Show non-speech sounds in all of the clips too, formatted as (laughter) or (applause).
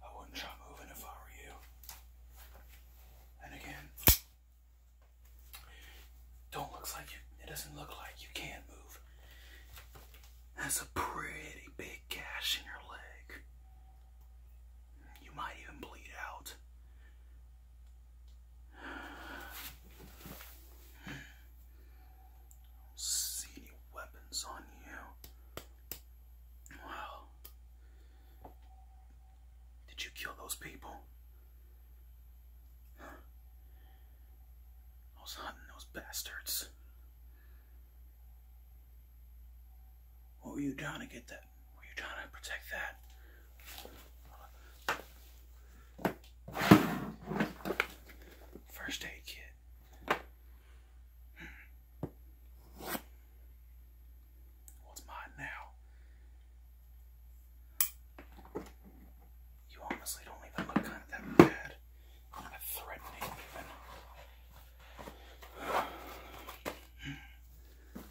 I wouldn't try moving if I were you. And again, don't look like you. It doesn't look like you can move. That's a pretty big gash in your leg. You might even bleed out. See any weapons on you? Wow. Did you kill those people? I was hunting those bastards. What were you trying to get that? Were you trying to protect that? First aid kit. What's mine now? You honestly don't even look kind of that bad. Kind threatening, even.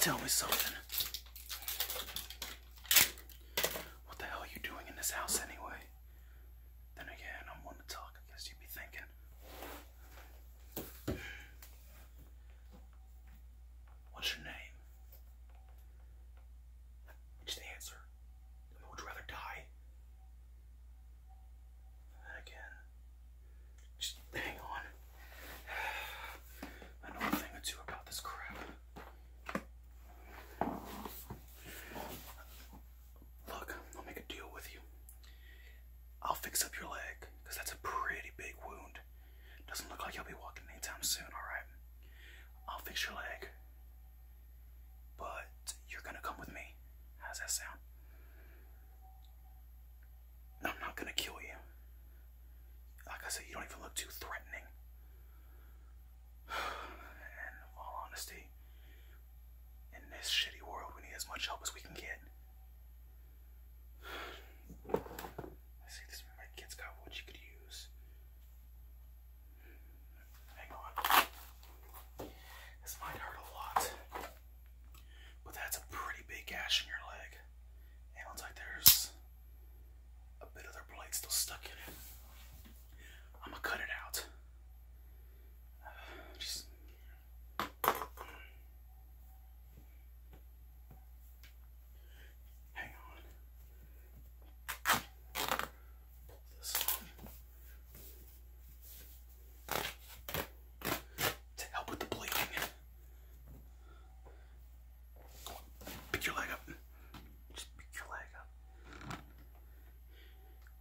Tell me something. What the hell are you doing in this house anyway? Then again, I'm one to talk, I guess you'd be thinking. What's your name? Just answer. I would rather die. Again. Just hang on. (sighs) I know a thing or about this crap. Look, I'll make a deal with you. I'll fix up your leg, because that's a pretty big wound. Doesn't look like you'll be walking anytime soon, alright? I'll fix your leg. But you're gonna come with me. How's that sound? I'm not gonna kill you. Like I said, you don't even look too threatening. (sighs) And all honesty, in this shitty world, we need as much help as we can get. Let's (sighs) this my kid's got what you could use. Hang on. This might hurt a lot. But that's a pretty big gash in your leg. And it looks like there's a bit of their blade still stuck in it. I'm gonna cut it out. (sighs) just. Hang on. Pull this To help with the bleeding. Pick your leg up. Just pick your leg up.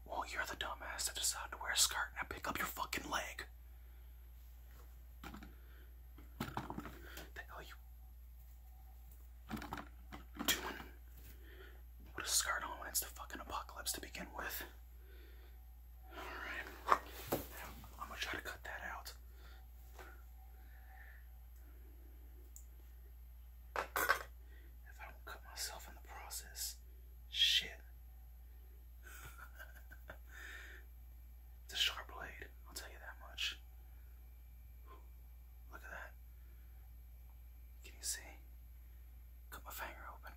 Well, you're the dumbass that decided to wear a skirt. Now pick up your fucking leg. The hell you doing? Put a skirt on when it's the fucking apocalypse to begin with. Alright. I'm gonna try to cut that out. If I don't cut myself in the process, shit. it's (laughs) a sharp blade, I'll tell you that much. Look at that. Can you see? Cut my finger open.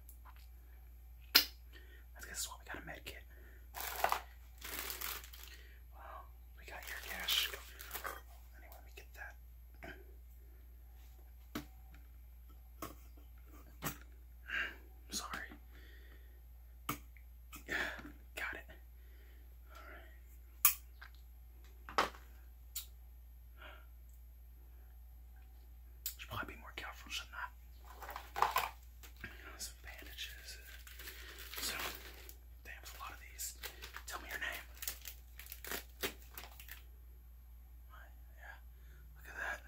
I guess that's why we got a med kit. Wow, we got your cash. Anyway, we get that. (sighs) Sorry. (sighs) Got it. Alright. Should probably be more careful, shouldn't and bandages. So, they a lot of these. Tell me your name. yeah, look at that.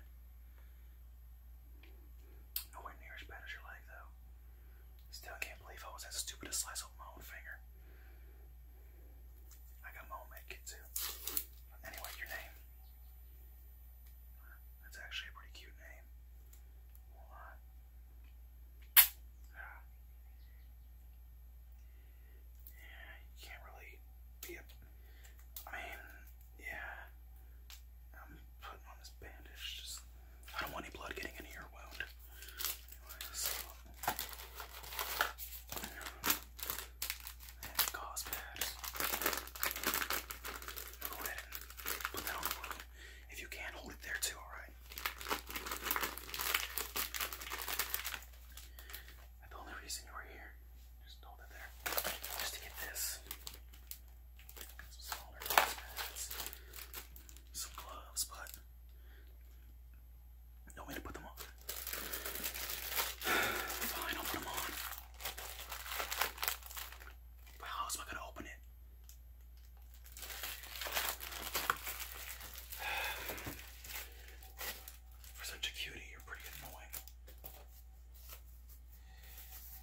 Nowhere near as bad as your leg, though. Still can't believe I was that stupid to slice off my own finger. I got my own med too. Anyway, your name. That's actually a pretty cute name. Hold on. Yeah, you can't really be I mean, yeah. I'm putting on this bandage. Just I don't want any blood getting into your wound. Anyways, um, and gauze pad. Go ahead and put that on if you can, hold it there too, alright? The only reason you were here, just hold it there, just to get this. Some smaller gloves some gloves, but no way to put them on. (sighs) Fine, I'll put them on. But how am I gonna open it? (sighs) For such a cutie, you're pretty annoying.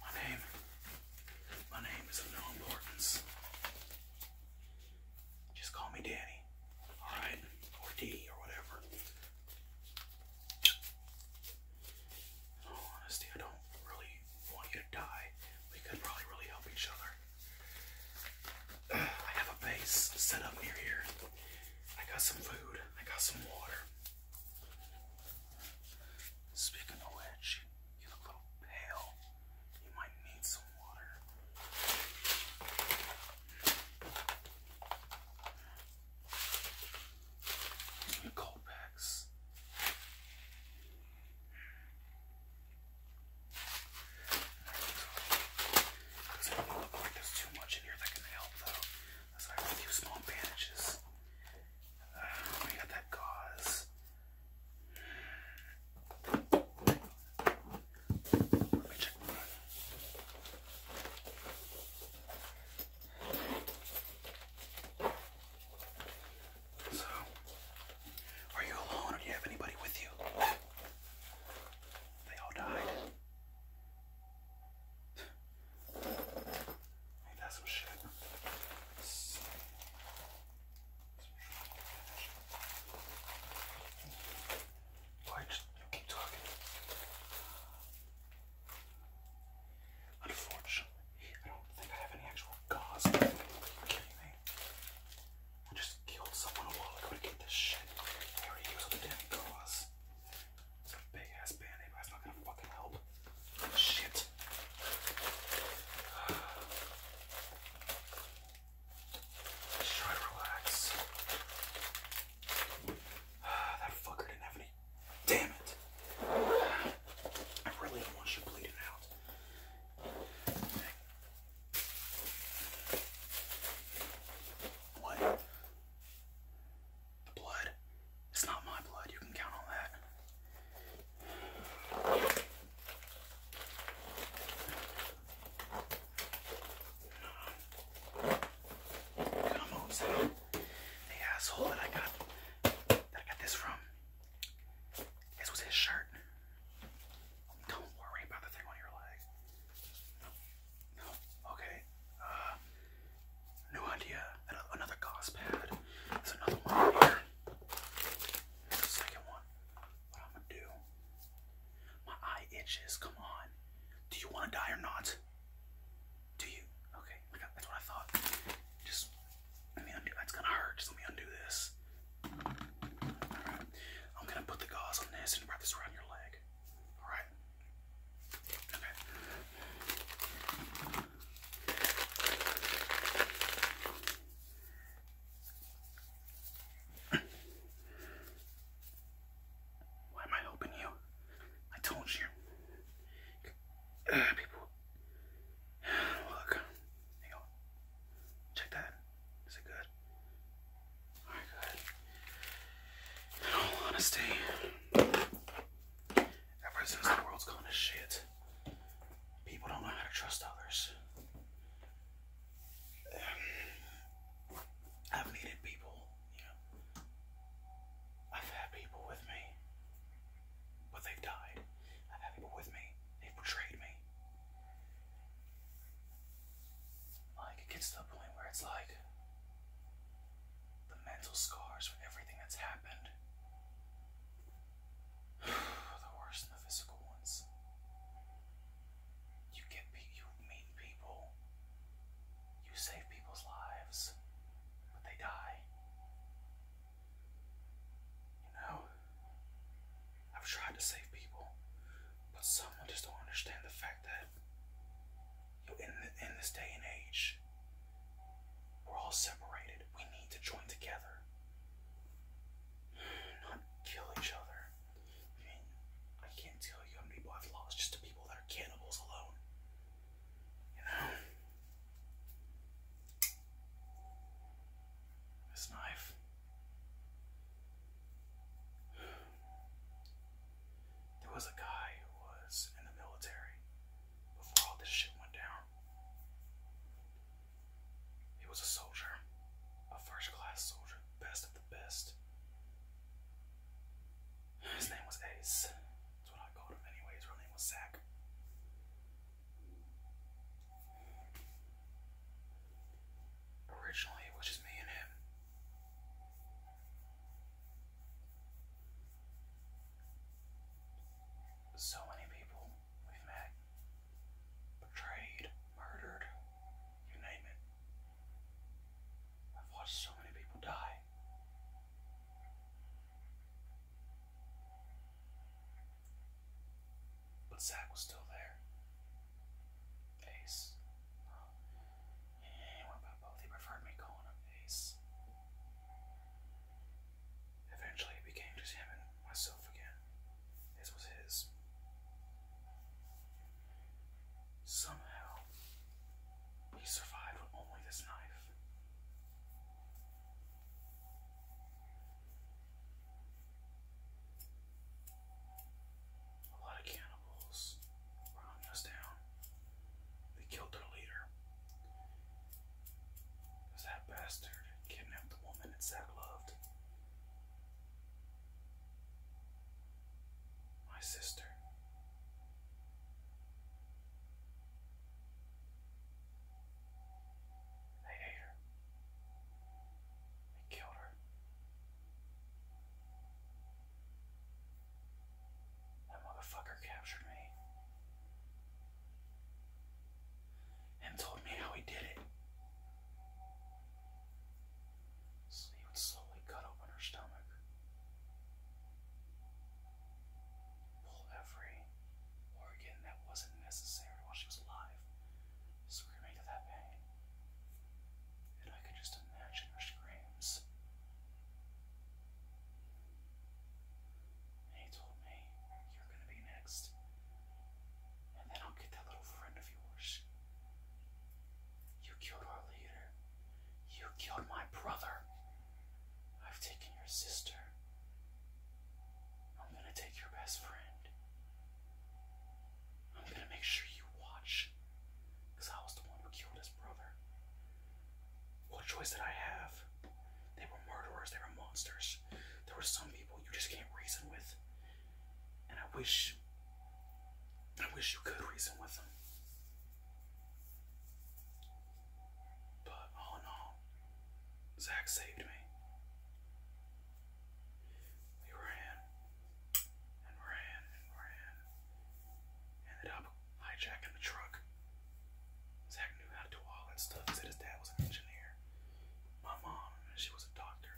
My name, my name is of no importance. Just call me Danny, all right, or D, or whatever all honesty, I don't really want you to die. We could probably really help each other. (sighs) I have a base set up near here. I got some food. I got some water. Speaking of which, you look a little pale. You might need some water. These packs. Doesn't look like there's too much in here that can help though. I have a few small bandages. Uh, got that gauze. So, are you alone do you have anybody with you? They all died. Ain't that some shit? Why just keep talking? Unfortunately, I don't think I have any actual gauze. just killed someone while ago to get this shit. I already used all the damn gauze. It's a big ass band aid, but fucking help. Shit. Just try relax. (sighs) that fucker didn't have any Damn it. I really don't want you bleeding out. What? The blood? It's not my blood. You can count on that. Come on, Sam. asshole that I got that I got this from. This was his shirt. Don't worry about the thing on your leg. No, okay. Uh, new idea. Another gauze pad. There's another one here. second one. What I'm gonna do? My eye itches. Come on. Do you want to die or not? Do you? Okay, that's what I thought. Just let me undo. That's gonna hurt. Just let me undo this. i right. I'm gonna put the gauze on this and wrap this around your leg. All right. Okay. Why am I helping you? I told you. Uh, people (sighs) Look. Check that. Is it good? Alright, good. In all honesty, ever since the world's gone to shit, people don't know how to trust others. (sighs) I've needed people, you I've had people with me but they've died. I've people with me. they betrayed me. Like, it gets to the point where it's like the mental scars from everything that's happened (sighs) the worse than the physical ones. You get you meet people you save people's lives, but they die. You know, I've tried to save people, but someone just don't understand the fact that you in in this day and age, we're all separated. We need to join together, (sighs) not kill each other. I can't tell you how many people I've lost just to people that are cannibals alone. You know? This knife. There was a guy who was in the military before all this shit went down. He was a soldier, a first class soldier, best of the best. His name was Ace. That's what I called him anyway. His real name was Zach. Originally, it was just me and him. So many people we met, betrayed, murdered, you name it. I've watched so many people die. But Zach was still there. Ace. Oh. Yeah, what both? He preferred me calling him Ace. Eventually, it became just him and myself again. His was his. Somehow, he survived with only this knife. A lot of cannibals were hunting us down. They killed their leader. Because that bastard kidnapped the woman that Zack loved. My sister. They ate her. They killed her. That motherfucker captured me and told me how he did it. So he would slowly cut open her stomach Pull every organ that wasn't necessary while she was alive, screaming to that pain. And I could just imagine her screams. he told me, You're gonna be next. And then I'll get that little friend of yours. You killed our leader. You killed my brother. I've taken your sister. I'm gonna take your best friend. I'm gonna make sure you watch. Because I was the one who killed his brother. What choice did I have? They were murderers, they were monsters. There were some people you just can't reason with. And I wish. I wish you could reason with them. But all oh in Zach saved me. We ran and ran and ran. Ended up hijacking the truck. Zach knew how to do all that stuff. said his dad was an engineer. My mom, she was a doctor.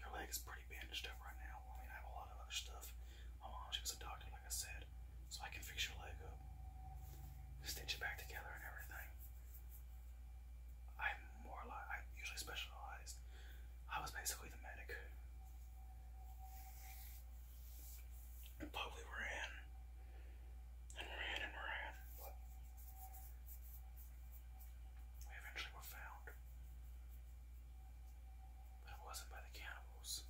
your leg is pretty bandaged up right now. I mean, I have a lot of other stuff. My mom, she was a doctor like I said, so I can fix your leg up, stitch it back together, and everything. I'm more like I usually specialized. I was basically the medic. But we were and ran and ran, but we eventually were found. If it wasn't by the cannibals,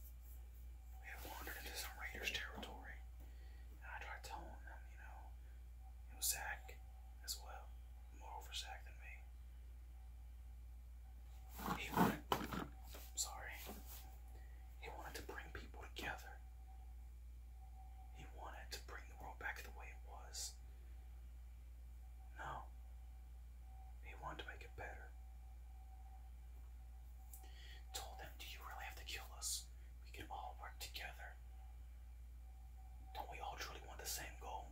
we had wandered into some raiders' territory. And I tried telling them, you know, it was Zach as well. More over Zach than me. He wanted, sorry, he wanted to bring people together. He wanted to bring the world back to the way it was. No. He wanted to make Told them, Do you really have to kill us? We can all work together. Don't we all truly want the same goal?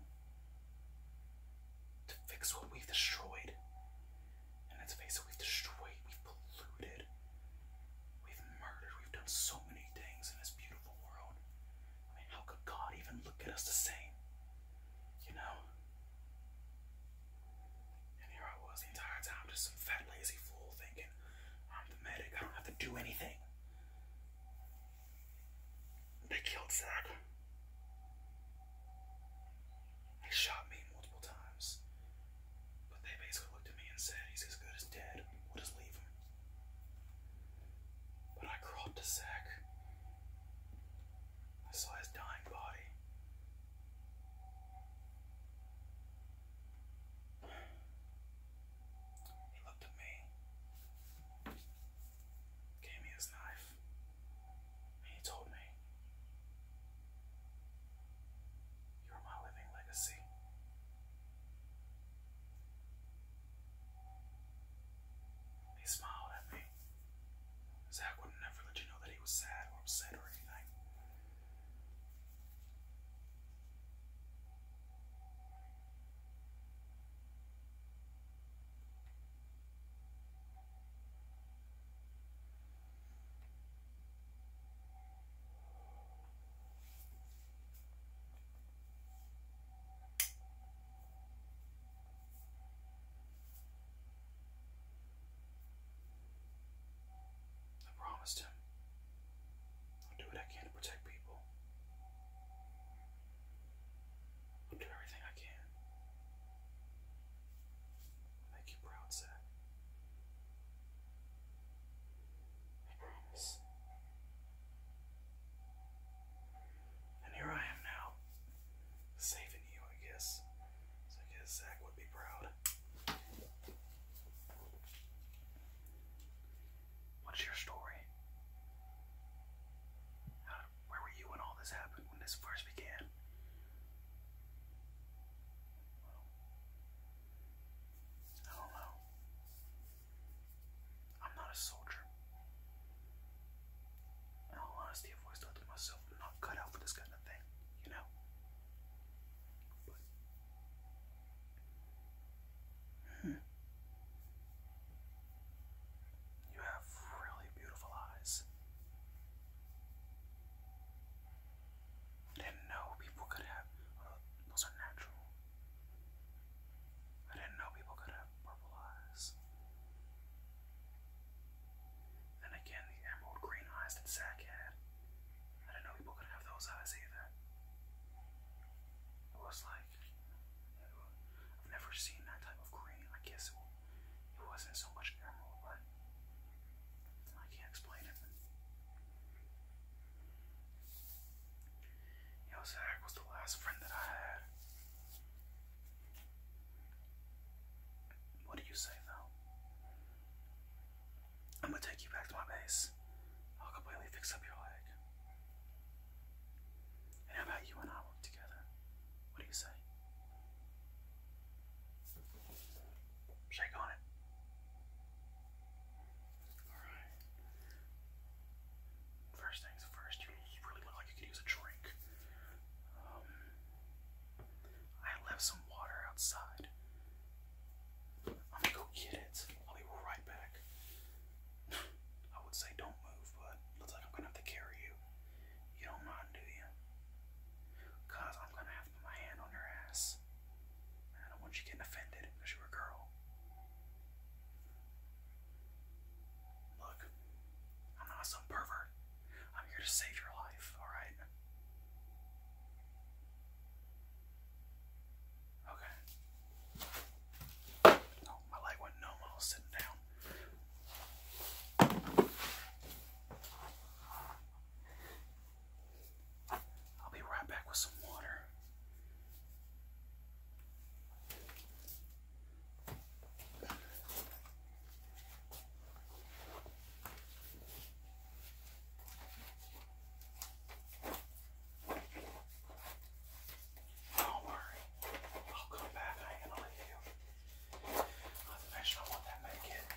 To fix what we've destroyed. And let's face it, we've destroyed, we've polluted, we've murdered, we've done so many things in this beautiful world. I mean, how could God even look at us the same? You know? And here I was the entire time, just some fat, lazy fool thinking, I'm the medic, I don't have to do anything. They killed Zach. They shot me multiple times. But they basically looked at me and said, He's as good as dead. We'll just leave him. But I crawled to Zach I saw his dying body. He looked at me, gave me his knife, and he told me, You're my living legacy. He smiled at me way. Zach would never let you know that he was sad or upset or anything. I promised him I'll do what I can to protect people. I'll do everything I can. I'll make you proud, Zach. I promise. And here I am now, saving you, I guess. So I guess Zach would be proud. What's your story? where were you when all this happened, when this first began? I don't know. I'm not a soldier. In all honesty, I've always thought to myself, I'm not cut out for this kind of thing, you know? Hmm. You have really beautiful eyes. I didn't know people could have. Uh, those are natural. I didn't know people could have purple eyes. Then again, the emerald green eyes that Zack had. I didn't know people could have those eyes either. It was like, I've never seen that type of green. I guess it, wasn't so much emerald, but I can't explain it. Yo, Zach was the last friend that I had. What do you say, though? I'm gonna take you back to my base. I'll completely fix up your leg. how about you and I work together? What do you say? Shake on it. Alright. First things first, you really look like you could use a drink. Um, I left some water outside. I'm gonna go get it. I'll be right back. (sighs) I would say don't move, but looks like I'm gonna have to carry you. You don't mind, do you? Cause I'm gonna have to put my hand on your ass. I don't want you getting offended because a girl. Look, I'm not some pervert. I'm here to save your life, alright? Okay. my leg went numb while sitting down. I'll be right back with some water. Don't worry, I'll come back. I ain't gonna leave you. Not to mention, I want that medkit.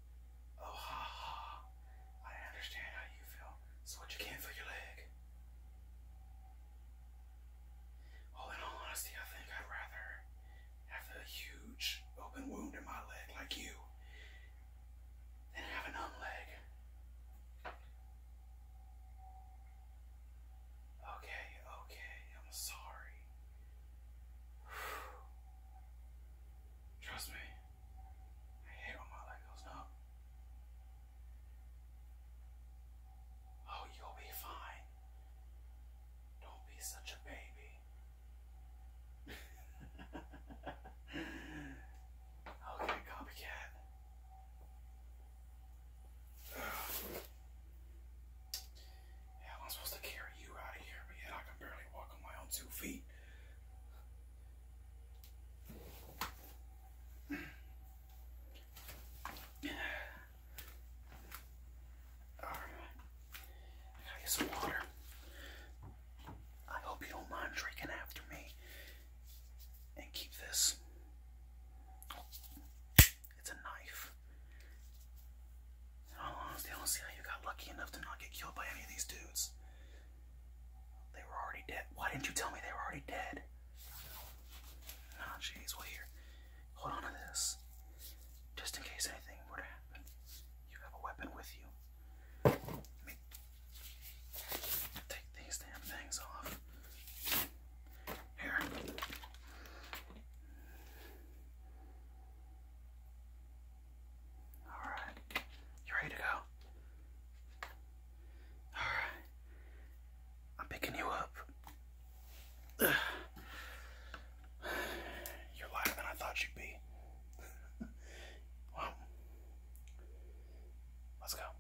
Oh, ha ha. I understand how you feel. So what you can for your leg? Well, in all honesty, I think I'd rather have a huge open wound in my leg like you than have a numb leg. Okay, okay, I'm sorry. (sighs) Trust me. I hate when my light goes Oh, you'll be fine. Don't be such a baby. okay, (laughs) copycat. (sighs) Yeah, I'm supposed to carry you out of here, but yet I can barely walk on my own two feet some water. I hope you don't mind drinking after me. And keep this. It's a knife. Oh, how long is the only CIA who got lucky enough to not get killed by any of these dudes? They were already dead. Why didn't you tell me they were already dead? Oh, jeez. Well, here. Hold on to this. Just in case anything were to happen, you have a weapon with you. me take these damn things off. Here. Alright. You ready to go? Alright. I'm picking you up. (sighs) You're lighter than I thought you'd be. (laughs) well, let's go.